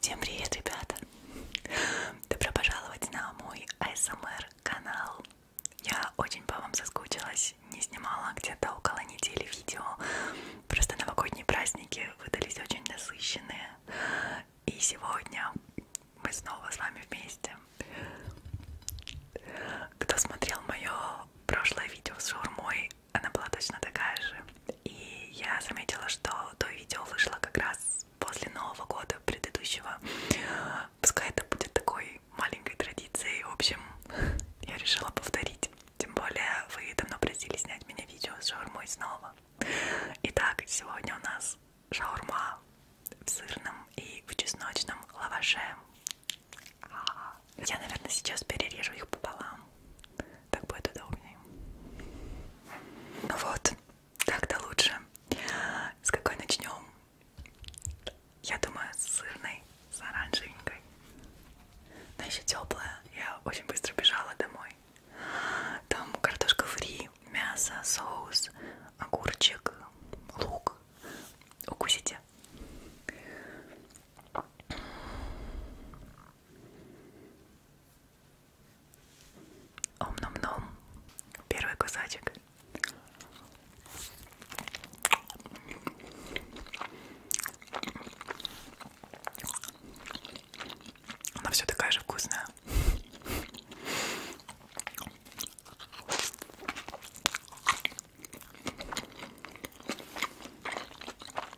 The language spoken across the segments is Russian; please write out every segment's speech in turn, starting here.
Всем привет, ребята! Добро пожаловать на мой ASMR канал. Я очень по вам соскучилась, не снимала где-то около недели видео. Просто новогодние праздники выдались очень насыщенные. И сегодня мы снова с вами вместе. Кто смотрел мое прошлое видео с шаурмой, она была точно такая же. И я заметила, что то видео вышло как раз после Нового года предыдущего. Пускай это будет такой маленькой традицией. В общем, я решила повторить. Тем более вы давно просили снять меня видео с шаурмой снова. Итак, сегодня у нас шаурма в сырном и в чесночном лаваше. Я, наверное, сейчас перережу их пополам так будет удобнее. Ну вот, как-то лучше. С какой начнем? Я думаю, с сырной, с оранжевенькой. Она еще теплая. Я очень быстро бежала домой. Там картошка фри, мясо, соус, огурчик, лук. Укусите. Ом-ном-ном. Первый кусочек. Она все такая же вкусная.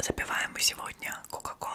Запиваем мы сегодня кока-колой.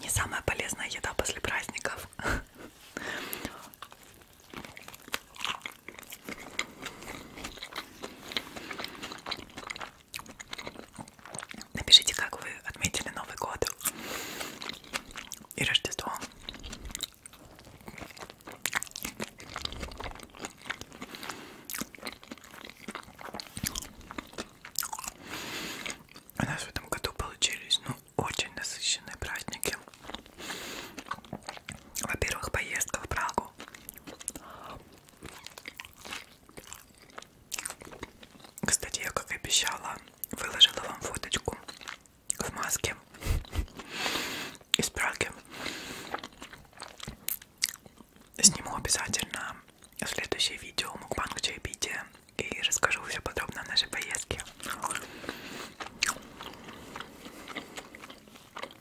Не самая полезная еда после праздников. Напишите, как вы отметили Новый год и Рождество. У нас в этом году получились, ну, очень насыщенные праздники. Во-первых, поездка в Прагу. Кстати, я, как и обещала, выложила вам фоточку в маске из Праги. Сниму обязательно следующее видео мукбанг чаепития и расскажу все подробно о нашей поездке.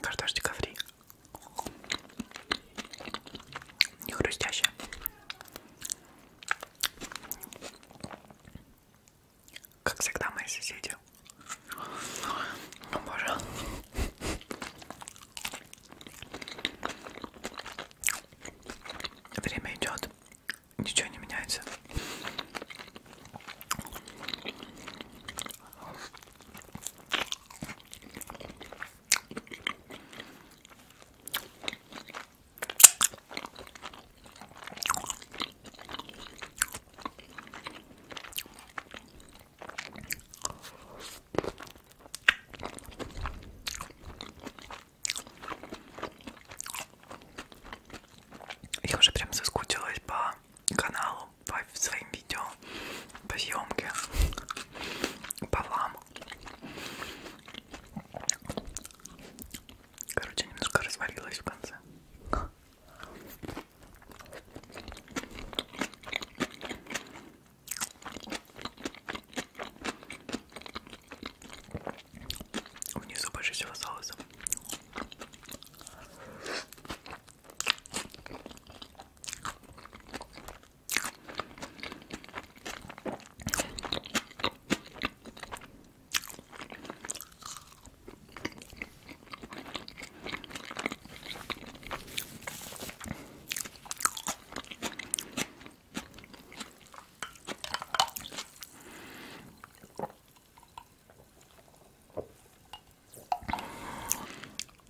Картошечка фри. Не хрустящая. Как всегда мои соседи. О боже. Время идет ничего не меняется. Я уже прям соскучилась по каналу, по своим видео, по съемке, по вам. Короче, немножко развалилась в конце. Внизу больше всего соуса.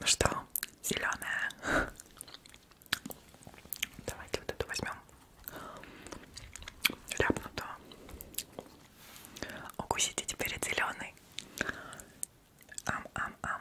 Ну что, зеленая? Давайте вот эту возьмем. Ляпнутую. Укусите теперь от зеленой. Ам-ам-ам.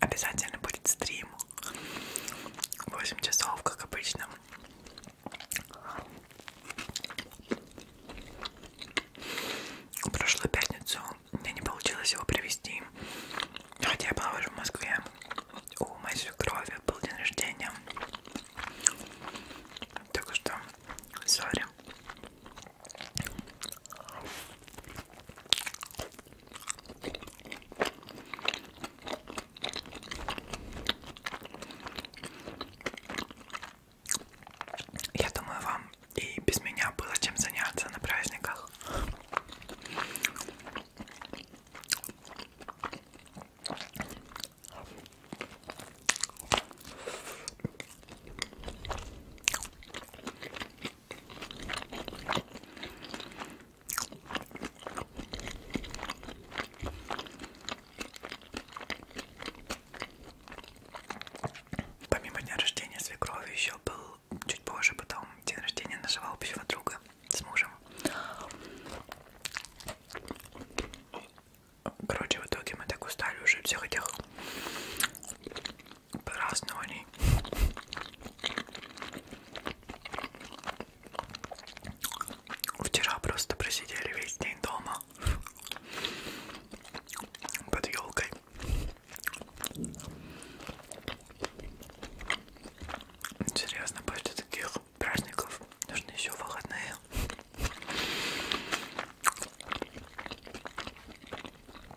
обязательно будет стрим. 8 часов, как обычно. В прошлую пятницу мне не получилось его привести. Хотя я была уже в Москве. У моей свекрови был день рождения. Так что, сори. Я думаю, вам и без меня было чем заняться на праздниках. Помимо дня рождения свекрови еще был чуть позже потом день рождения нашего общего друга с мужем. Короче, в итоге мы так устали уже всех этих празднований. Вчера просто просидели весь день дома под елкой. Серьезно, после таких праздников нужны еще выходные.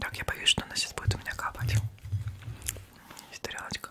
Так, я боюсь, что она сейчас будет у меня капать. Есть тарелочка.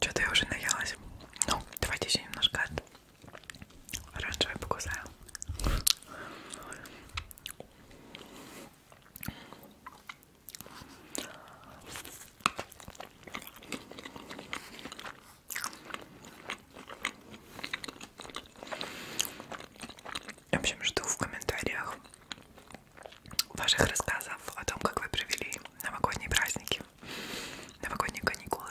Что-то я уже наелась. Ну, давайте еще немножко от оранжевой покусаю. В общем, жду в комментариях ваших рассказов о том, как вы провели новогодние праздники, новогодние каникулы.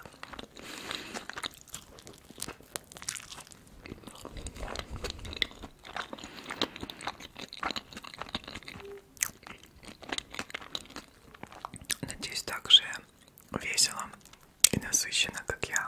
Надеюсь, также весело и насыщенно, как я.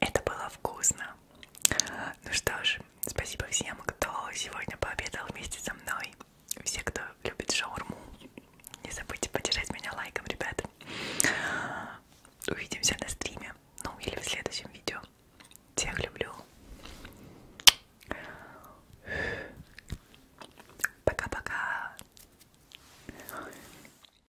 Это было вкусно. Ну что ж, спасибо всем, кто сегодня пообедал вместе со мной. Все, кто любит шаурму, не забудьте поддержать меня лайком, ребята. Увидимся на стриме, ну или в следующем видео. Всех люблю. Пока-пока.